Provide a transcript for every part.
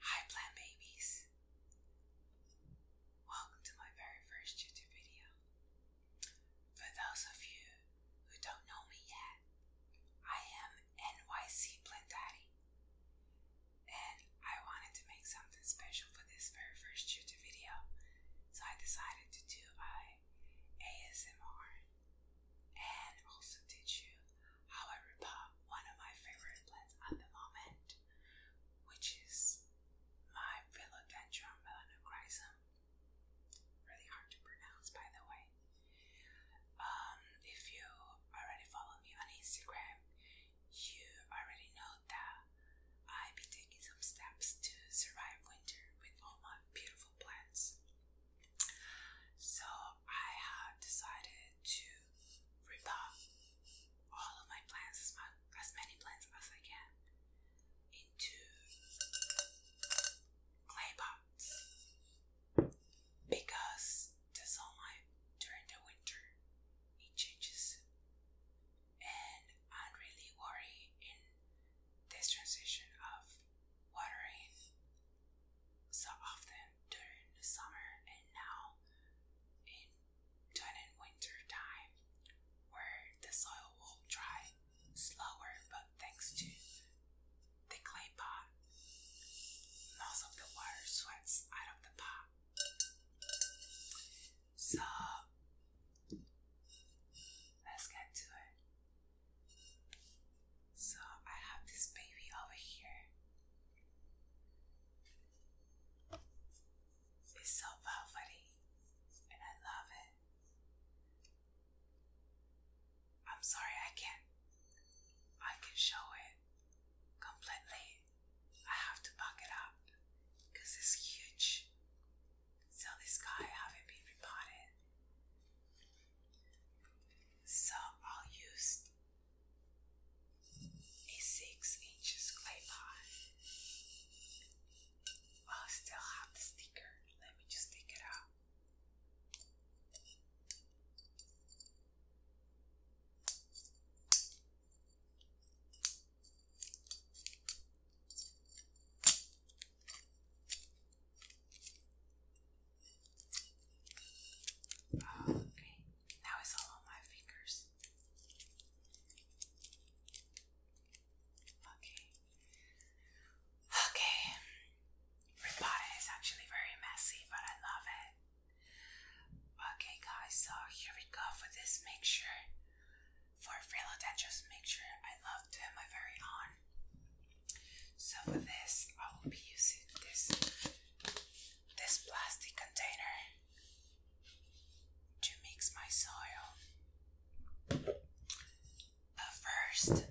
Hi plant babies! Welcome to my very first YouTube video. For those of you who don't know me yet, I am NYC Plant Daddy. And I wanted to make something special for this very first YouTube video. So I decided to do a ASMR and also teach you However, one of my favorite plants at the moment, which is my Philodendron melanochrysum. Really hard to pronounce, by the way. Um, if you already follow me on Instagram, you already know that I be taking some steps to survive winter with all my beautiful plants. So I have decided to rip all of my plants, as, many plants as I can, into clay pots because the sunlight during the winter it changes, and I'm really worried in this transition of watering so often during the summer and now in during winter time where the soil will dry slower but thanks to the clay pot most of the water sweats out of the pot so let's get to it so I have this baby over here. It's so velvety and I love it. I'm sorry I can't I can show it completely. I have to buck it up because it's huge. So this guy haven't been so I'll use a six inches clay pot. i still have the sticker. Let me just take it out. Okay, now it's all on my fingers. Okay. Okay. Ricotta is actually very messy, but I love it. Okay, guys, so here we go for this mixture. For just make sure I love to have my very own so for this, I will be using this this plastic container to mix my soil. But first,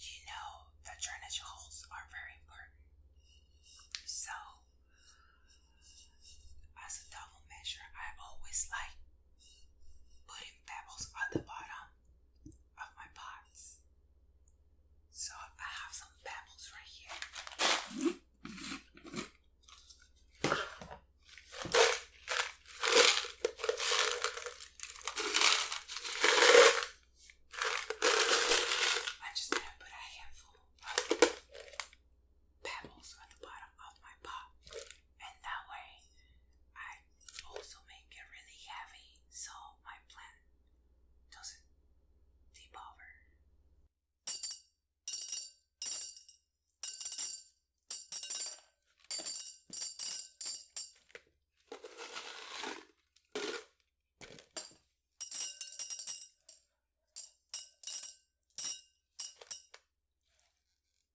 you know the drainage holes are very important. So as a double measure, I always like putting pebbles at the bottom of my pots. So I have some pebbles right here. i just gonna put a handful of pebbles on the bottom of my pot and that way I also make it really heavy so my plant doesn't tip over.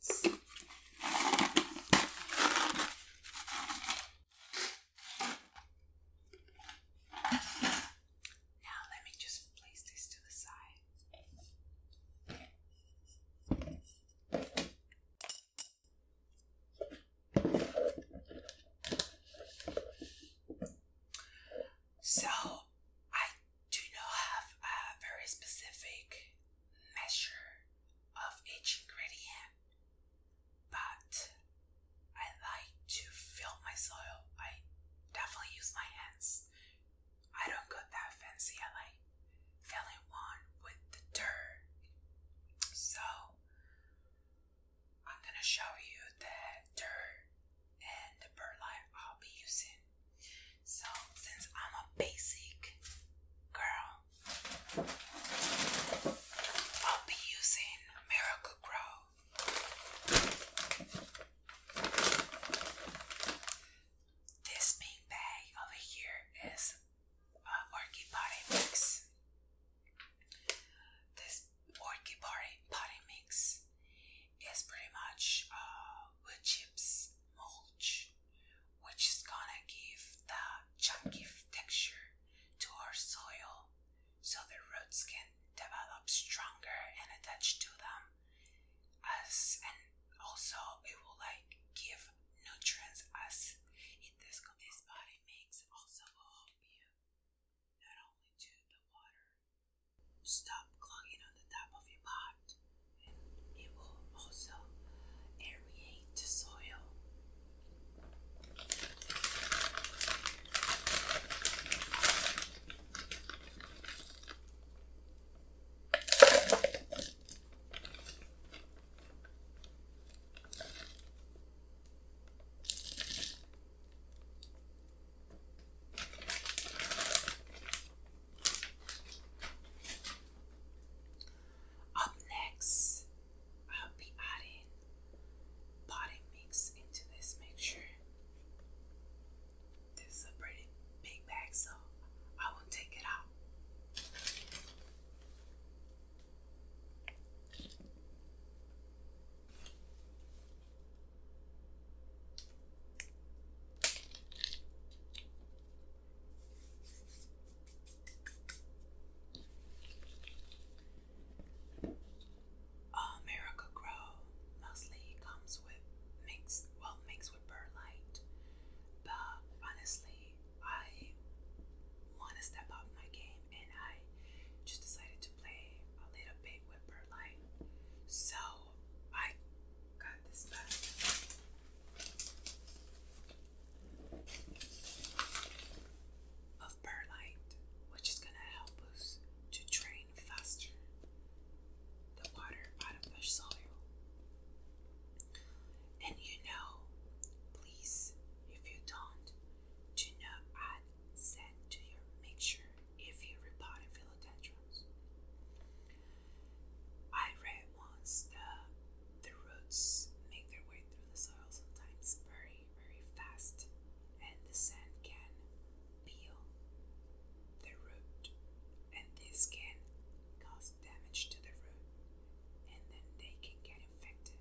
Now let me just place this to the side. So, I do not have a very specific measure of each ingredient, but I like to fill my soil. I definitely use my hands. I don't go that fancy. I like filling one with the dirt. So I'm gonna show you the dirt and the perlite I'll be using so, since I'm a basic girl, I'll be using Miracle Grow. This pink bag over here is uh, Orchid Potting Mix. This Orchid Potting Mix is pretty much uh, wood chips, mulch, which is gonna give the chunky texture to our soil so the roots can develop stronger and attach to them as and also it will like give nutrients as it this this body makes also will help you not only to the water stop clogging on the top of your pot, and it will also aerate the soil. Up next, I'll be adding potting mix into this mixture. This is a pretty big bag, so I will take it out. America Grow mostly comes with mixed, well, mixed with Burlite, but honestly, I want to step up my game and I just decided to play a little bit with Burlite. So I got this back. Of perlite, which is gonna help us to drain faster the water out of the soil. And you know, please, if you don't, do not add sand to your mixture if you repot and feel I read once that the roots make their way through the soil sometimes very, very fast, and the sand can peel the root, and this can cause damage to the root, and then they can get infected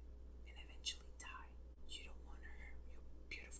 and eventually die. You don't want to hurt your beautiful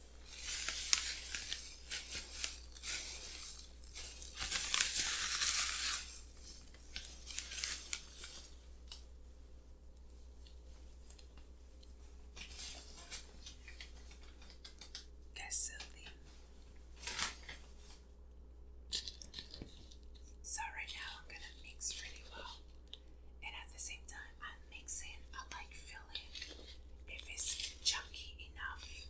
That's silly. So right now I'm gonna mix really well. And at the same time I'm mixing I like feel if it's chunky enough.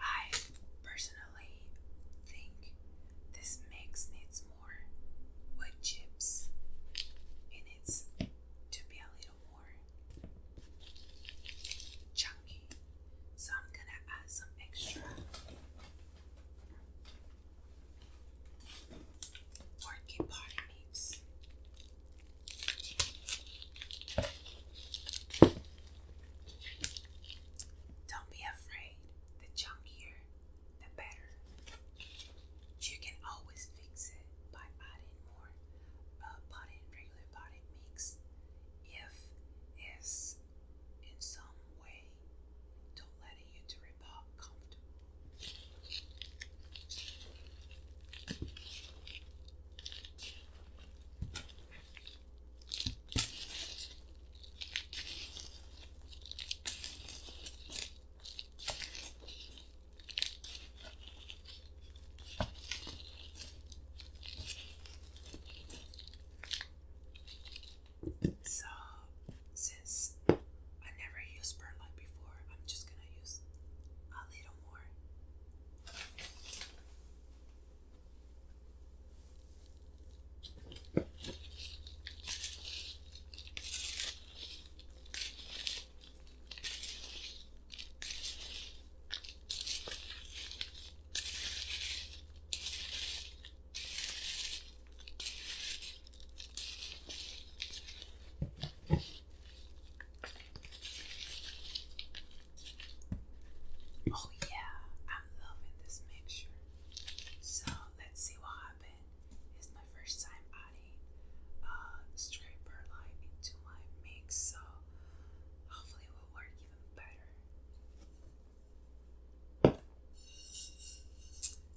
I personally think this mix needs more wood chips. It to be a little more chunky. So I'm gonna add some extra Porky potty meats. Don't be afraid. The chunkier, the better. You can always fix it by adding more uh, regular potting mix if it's in some way do to letting you to report comfortable. So, since I never used perlite before, I'm just gonna use a little more. Oh yeah, I'm loving this mixture. So let's see what happened. It's my first time adding uh, straight perlite into my mix, so hopefully it will work even better.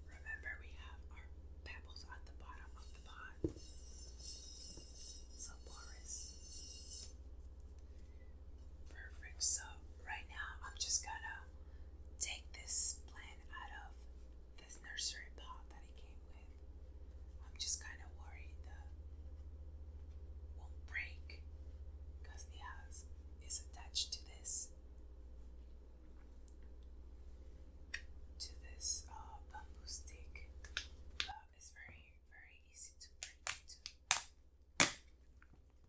Remember, we have our pebbles at the bottom of the pot. So, Boris. Perfect. So, right now, I'm just gonna take this plant out of this nursery pot that it came with. I'm just kind of worried it won't break because it has is attached to this to this uh, bamboo stick. Uh, it's very very easy to break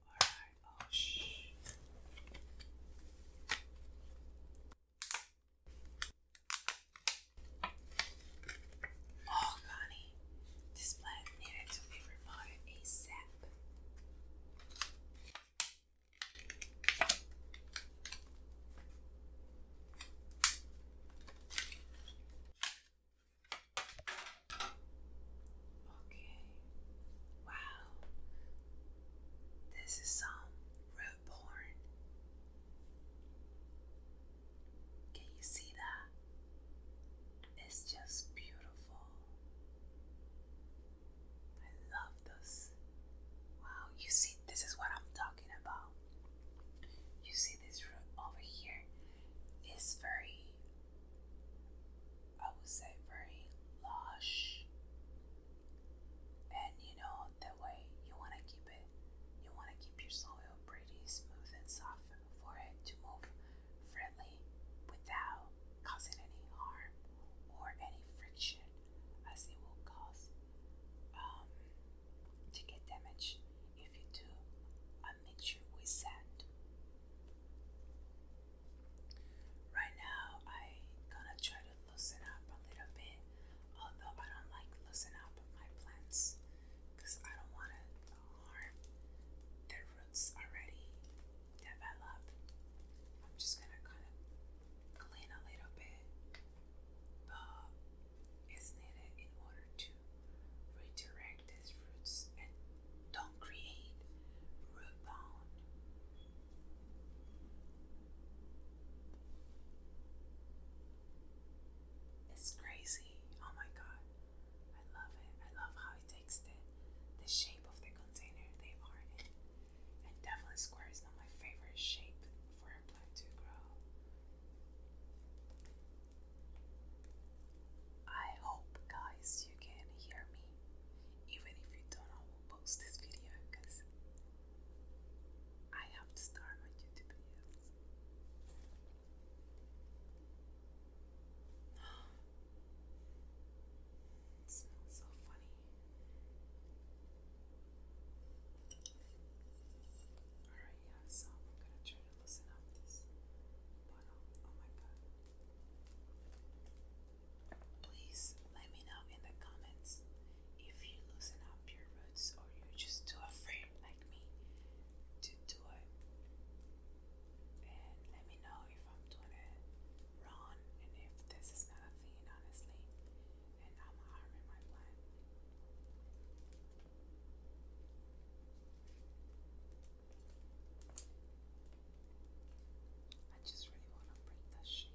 Alright, oh shh. Oh, Connie, this plant needed to be removed ASAP. Okay. Wow. This is some road porn. Can you see that? It's just beautiful. I love this. Wow, you see, this is what I'm talking about. You see, this room over here is very, I would say, very lush. And you know, the way you want to keep it, you want to keep your soil pretty smooth and soft for it to move friendly without causing any harm or any friction, as it will cause um, to get damaged if you do a mixture with sand. Right now, i gonna try to loosen up a little bit, although I don't like loosening up my plants because I don't want to harm their roots already developed. I'm just gonna kind of clean a little bit, but it's needed in order to redirect these roots and don't create root bound. It's crazy. Oh my god. I love it. I love how it takes the, the shape of the container they are in. And definitely square is not my favorite shape for a plant to grow. I hope, guys, you can hear me, even if you don't know who post this video, because I have to start my YouTube videos smells so funny. Alright, yeah, so I'm gonna try to loosen up this bottle. Oh my god. Please let me know in the comments if you loosen up your roots or you're just too afraid like me to do it. And let me know if I'm doing it wrong and if this is not a thing, honestly. And I'm harming my plant. I just really want to break the shape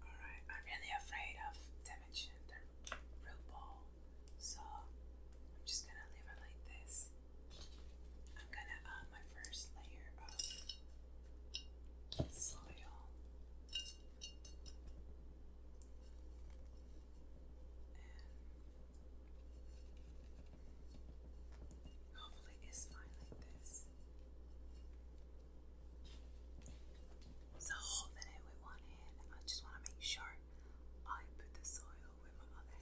Alright, I'm really afraid of damaging the real ball. So I'm just gonna leave it like this. I'm gonna add my first layer of soil. And hopefully it's fine like this. So holding it with one hand, I just want to make sure I put the soil will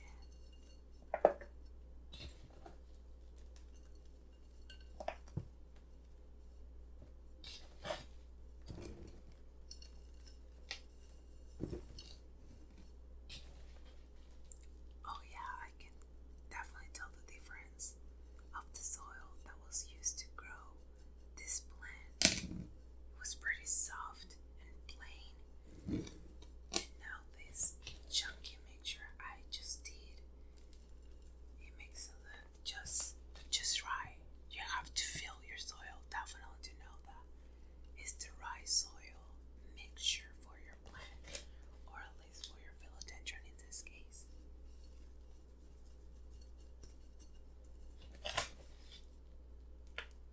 with Oh, yeah, I can definitely tell the difference of the soil that was used to grow this plant was pretty soft and plain. And now this chunky mixture I just did. It makes it look just just right. You have to fill your soil definitely to know that it's the right soil mixture for your plant or at least for your philodendron in this case.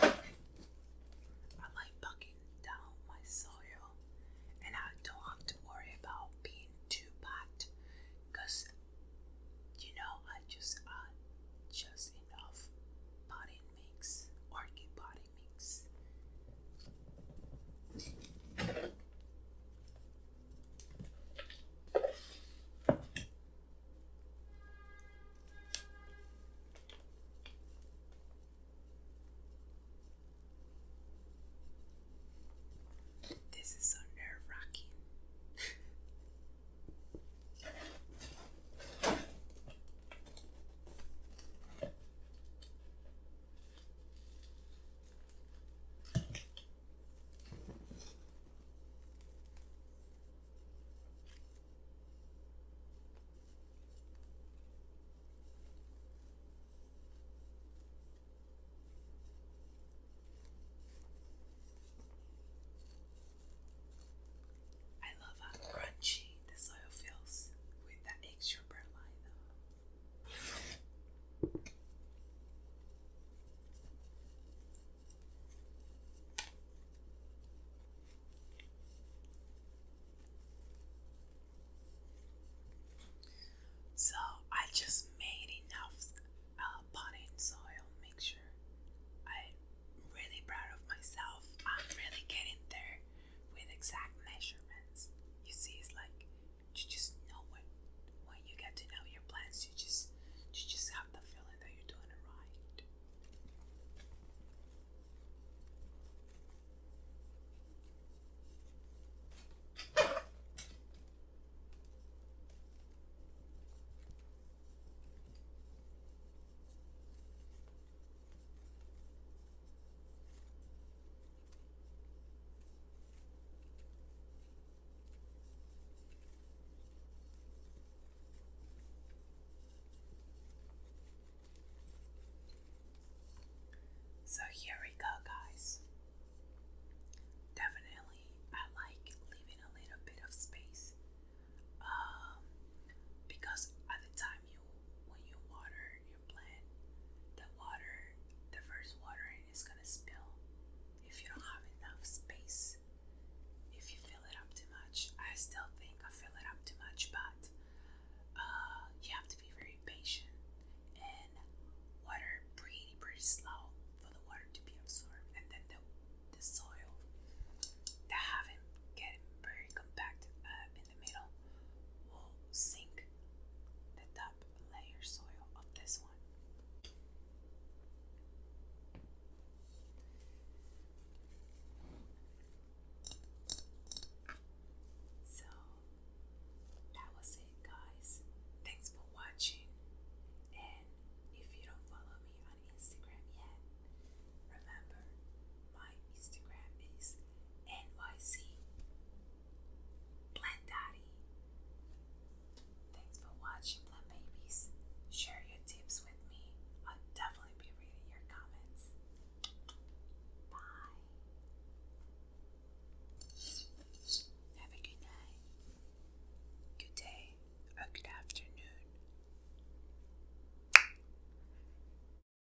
I like bucking down my soil and I don't have to worry about being too bad you know I just add just enough potting mix, orchid potting mix this is so nerve wracking. I love how crunchy the soil feels with that extra perlite so I just made enough uh, potting soil mixture. I'm really proud of myself. I'm really getting there with exact measurements. You see, it's like you just know when when you get to know your plants, you just you just have the feeling that you're doing it right. So here we go, guys. Definitely, I like leaving a little bit of space um, because at the time you, when you water your plant, the water, the first watering is gonna spill if you don't have enough space. If you fill it up too much, I still think I fill it up too much, but uh, you have to be very patient and water pretty, pretty slow for the water to be absorbed, and then the the soil that haven't getting very compacted uh, the middle will sink the top layer soil of this one. So that was it, guys. Thanks for watching. And if you don't follow me on Instagram yet, remember my Instagram is NYC Blend Daddy. Thanks for watching, Blend Babies. Share your tips with me. I'll definitely be reading your comments. Bye. Have a good night, good day, or good afternoon.